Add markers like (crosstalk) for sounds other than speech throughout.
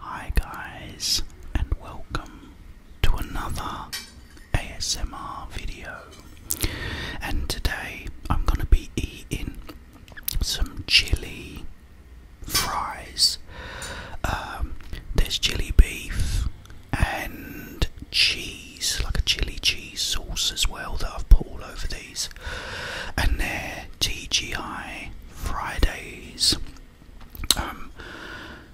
Hi guys and welcome to another ASMR video and today I'm going to be eating some chili fries. Um, there's chili beef and cheese, like a chili cheese sauce as well that I've put all over these and they're TGI Fridays. Um,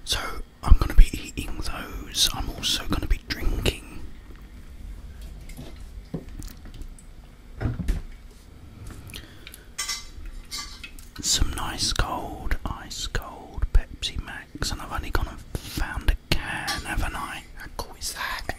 so I'm going to be eating those. I'm also going to be drinking. Some nice cold, ice cold Pepsi Max, and I've only gone and found a can, haven't I? that?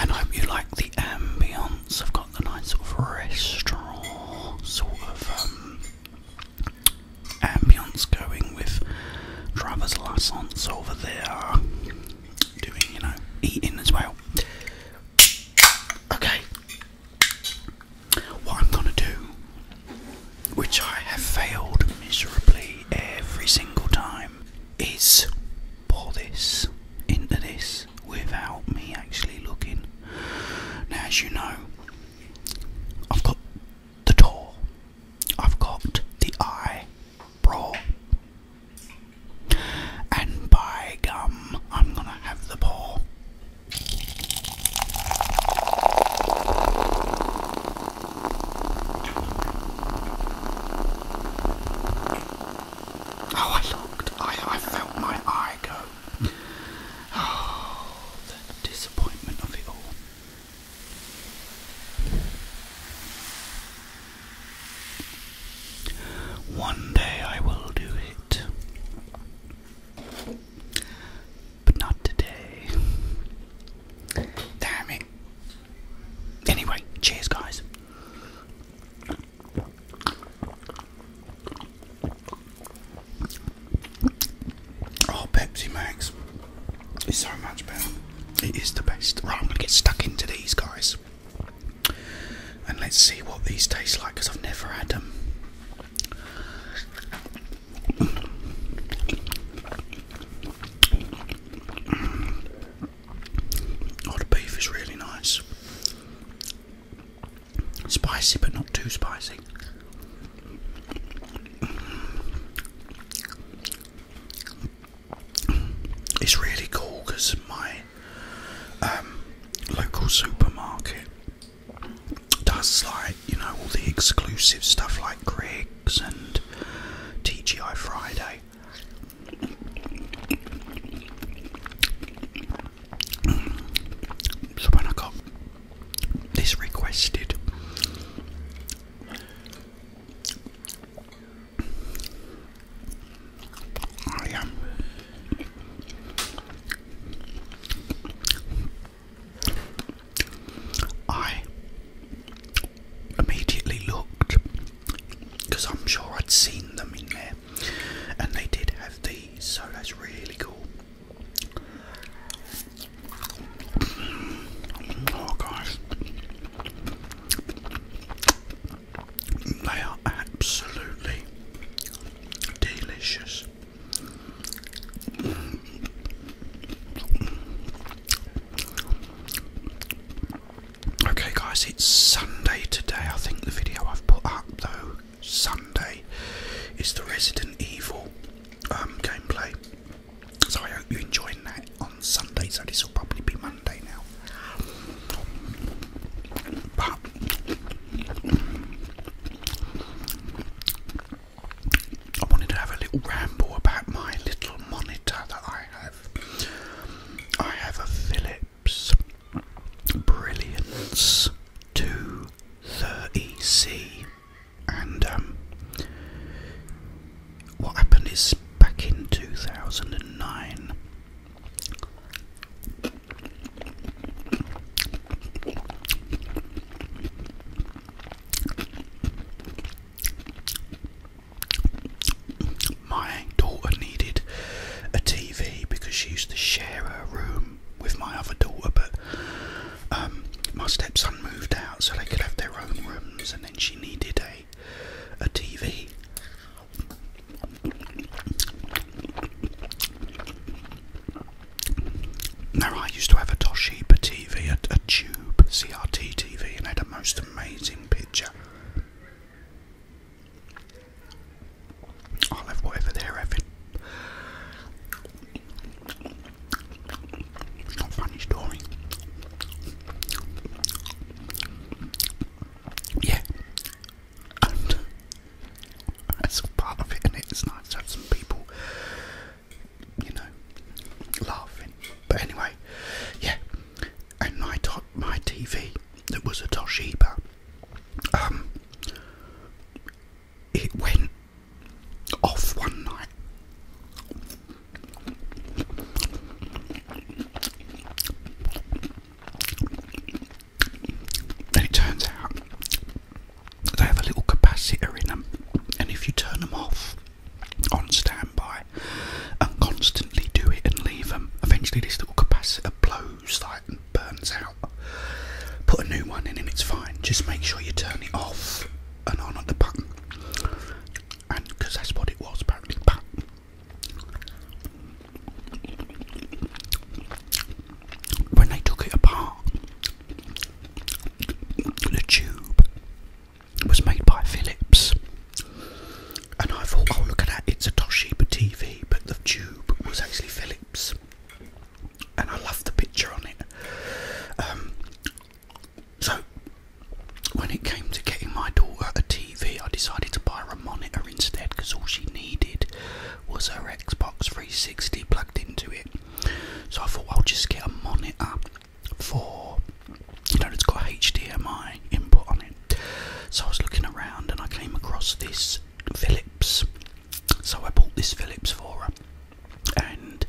And I hope you like the ambience. I've got the nice sort of restaurant sort of um, ambience going with driver's license over there doing, you know, eating as well. Okay. What I'm gonna do, which I have failed miserably every single time, is pour this into this without me actually looking. Now, as you know, I've got the door. I've got the eye bra. And by gum, I'm gonna have the paw. Oh, I looked. I, I felt my eye go. (sighs) Oh, the one day I will do it, but not today. Damn it. Anyway, cheers, guys. Oh, Pepsi Max is so much better. It is the best. Right, I'm going to get stuck into these guys. And let's see what these taste like because I've never had them. Oh, the beef is really nice. Spicy, but not too spicy. It's really cool because my um, local supermarket does like you know all the exclusive stuff like Griggs and TGI Friday. So when I got this requested, I um, immediately looked because I'm sure I'd seen them in there, and they did have these, so that's really cool. Oh guys, they are absolutely delicious. Okay guys, it's Sunday today. I think the video I've put up though Sunday is the Resident Evil um, gameplay. So I hope you're enjoying that on Sunday, so this will probably be Monday now. I wanted to have a little ramble about my little monitor that I have. I have a Philips. Phillips Brilliance 230C. And um, what happened is back in 2009. My daughter needed a TV because she used to share her room with my other daughter, but um, my stepson moved out so they could have their own rooms, and then she needed a a TV. Now I used to have a Toshiba TV, a, a tube CRT TV, and had a most amazing picture. I'll have whatever they're having. It's not funny story. Yeah. And that's all part of it, and it's nice to have some people, you know, laughing. But anyway, yeah. And my, my TV that was a Toshiba um, it went off one night. And it turns out they have a little capacitor in them, and if you turn them off on standby and constantly do it and leave them, eventually this little capacitor blows goes burns out. Put a new one in and it's fine. Just make sure you turn it off and on at the button. And because that's what it was apparently. But when they took it apart, the tube was made by Philips. And I thought, oh look at that, it's a Toshiba TV, but the tube was actually Philips. And I loved the picture on it. Um, so, when it came to getting my daughter a TV, I decided to buy her a monitor instead because all she needed was her Xbox 360 plugged into it. So I thought I'll just get a monitor for you know, it's got HDMI input on it. So I was looking around and I came across this Philips. So I bought this Philips for her, and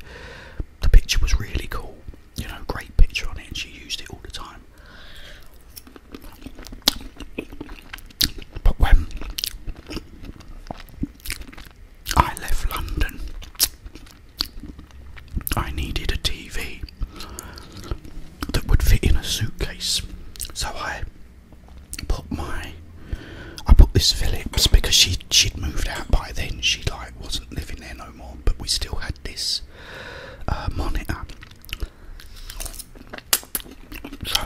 the picture was really cool. You know, great picture on it, and she used it all the time. But when I left London, I needed a TV that would fit in a suitcase. So I put my I put this Phillips because she she'd moved out by then. She like wasn't living there no more, but we still had this uh, monitor. So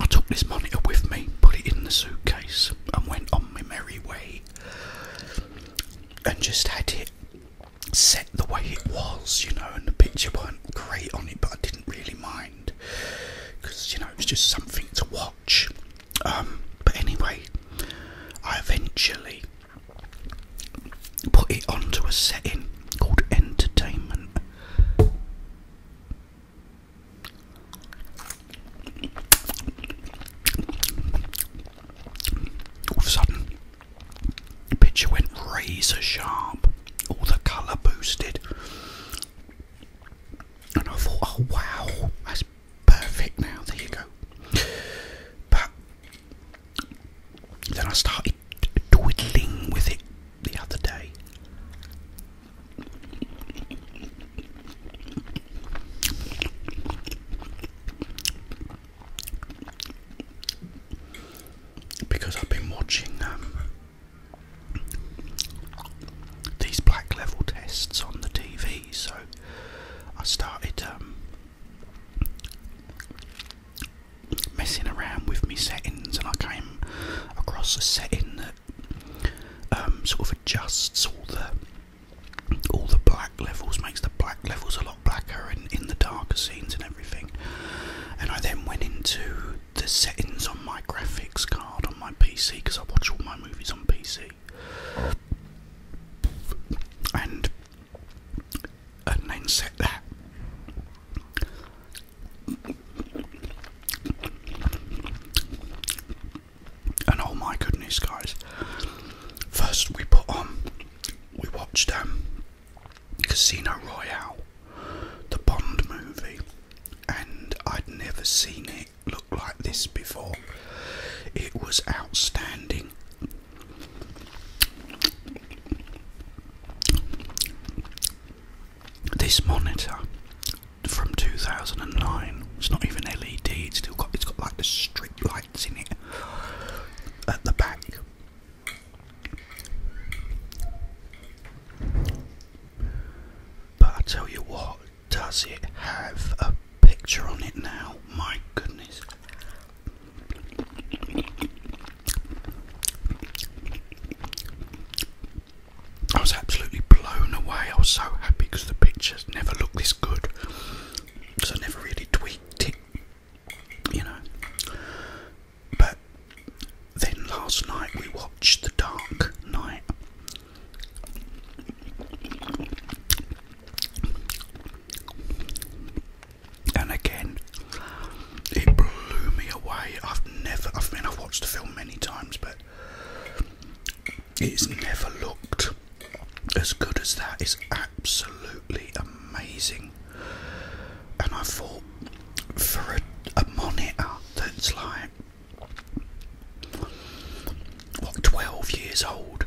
I took this monitor with me, put it in the suitcase, and went on my merry way. And just had it set the way it was, you know, and the picture weren't great on it, but I didn't really mind because you know it was just something to watch. Um, but anyway, I eventually put it onto a setting called entertainment all of a sudden, the picture went razor sharp, all the colour boosted. And I thought, oh wow, that's perfect now, there you go. But then I started twiddling with it the other day. Because I've been watching um, these black level tests on the TV, so I started um, messing around with my settings, and I came across a setting that um, sort of adjusts all the all the black levels, makes the black levels a lot blacker and in the darker scenes and everything. And I then went into the settings on my graphics card on my PC because I watch all my movies on PC. And and then set that. And oh my goodness, guys! First, we put on, we watched um, Casino Royale, the Bond movie, and I'd never seen it look like this before. It was outstanding. This monitor from 2009. It's not even LED. It's still got it's got like the street lights in it at the back. But I tell you what, does it have a picture on it now? My goodness. I was absolutely blown away. I was so happy because the pictures never looked this good. because I never really tweaked it, you know. But then last night we watched The Dark Night*, And again, it blew me away. I've never, I mean, I've watched the film many times, but it's never looked as good as that. It's absolutely amazing. And I thought for a, monitor that's like what 12 years old.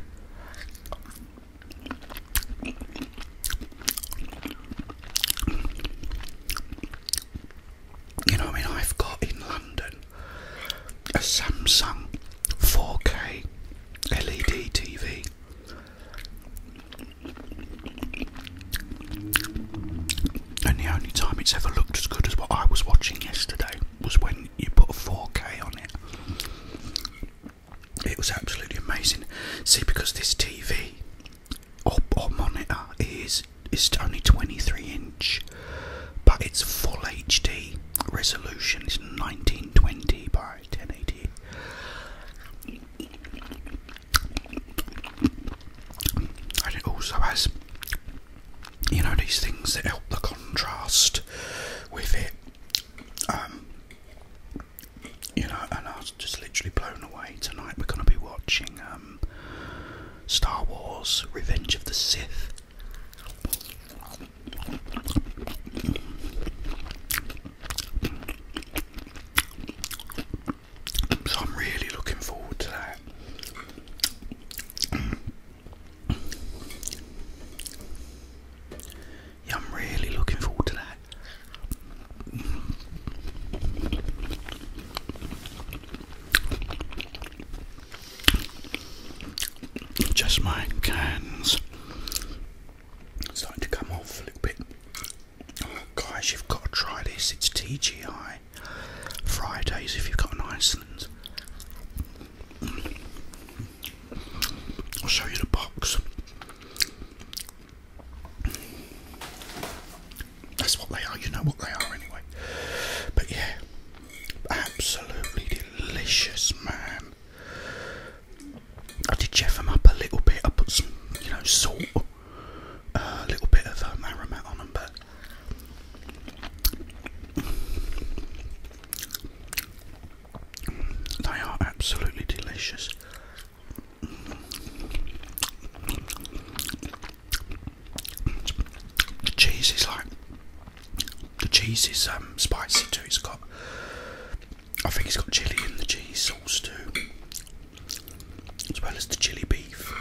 You know, I mean, I've got in London a Samsung 4K LED TV. And the only time it's ever looked as good as what I was watching yesterday was when you put a 4K on it. It was absolutely amazing. See, because this TV or monitor is it's only 23 inch, but it's full HD resolution. It's 1920 by 1080. And it also has, you know, these things that help the contrast with it. Um, you know, and I was just literally blown away tonight. We're going to be watching um, Star Wars Revenge of the Sith. So I'm really looking forward to that. Yeah, I'm really looking forward to that. Just my cans starting to come off a little bit. guys, you've got to try this. It's TGI Fridays if you've got an Iceland. I'll show you the box. That's what they are. You know what they are anyway. But yeah, absolutely delicious, man. I did jeff them up a little bit. I put some, you know, salt, uh, a little bit of um, uh, aromat on them, but they are absolutely delicious. The cheese is like the cheese is um, spicy too. It's got I think it's got chili in the cheese sauce too, as well as the chili beef.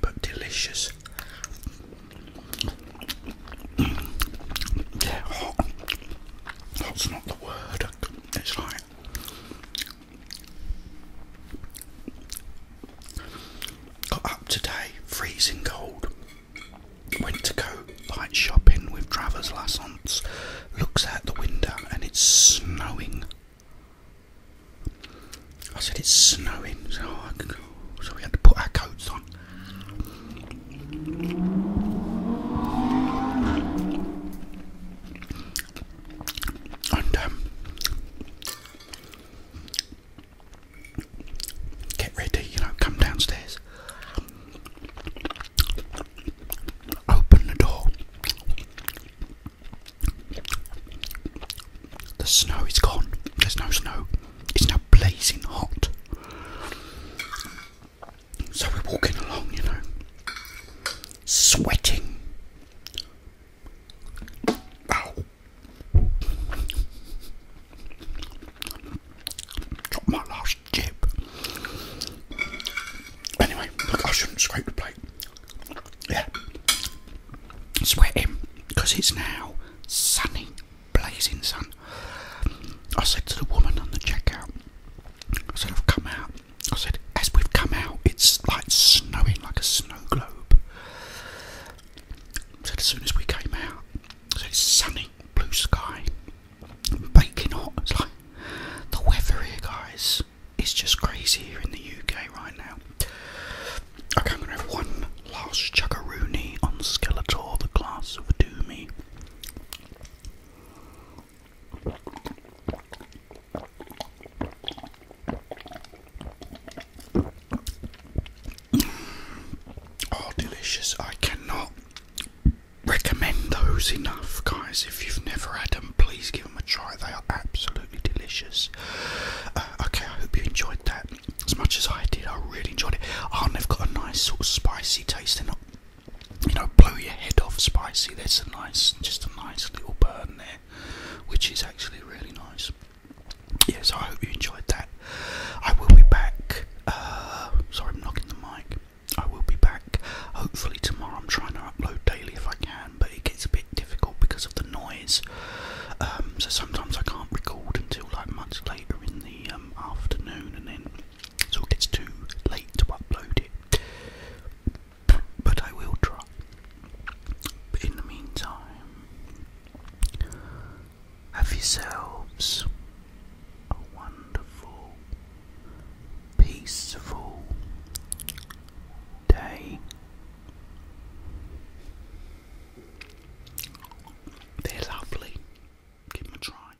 But delicious. yeah, hot. Hot's not the word. It's like Got up today, freezing cold. Went to go light shopping with Travers Lassance. Looks out the window and it's snowing. I said it's snowing, so, oh, we had to put our coats on and um, get ready, you know, come downstairs, open the door. The snow is gone, there's no snow, it's now blazing hot. So we're walking along, you know, sweating, Ow. my last chip. Anyway, I shouldn't scrape the plate. Yeah. Sweating, because it's now sunny, blazing sun. I said to the woman on the checkout, I said, I've come out I said, as we've come out, it's like snowing like a snow globe. I said, as soon as we came out, it's sunny, blue sky, baking hot. It's like the weather here, guys, is just crazy here in the UK right now. Okay, I'm gonna have one last chuggaroony on Skeletor, the class of Doomy. Oh, delicious. I cannot recommend those enough, guys. If you've never had them, please give them a try. They are absolutely delicious. Uh, okay, I hope you enjoyed that as much as I did. I really enjoyed it. Oh, and they've got a nice sort of spicy taste. They're you know, blow your head off spicy. That's a nice, just a nice little burn there, which is actually really nice. Yeah, so I hope you enjoyed that. I will be back. Uh, sorry, I'm knocking the mic. I will be back hopefully tomorrow. I'm trying to upload daily if I can, but it gets a bit difficult because of the noise. Um, so sometimes I can't record until like much later in the um, afternoon, and then so it's too late to upload it. But I will try. in the meantime, have yourselves a wonderful, peaceful day. They're lovely. Give them a try.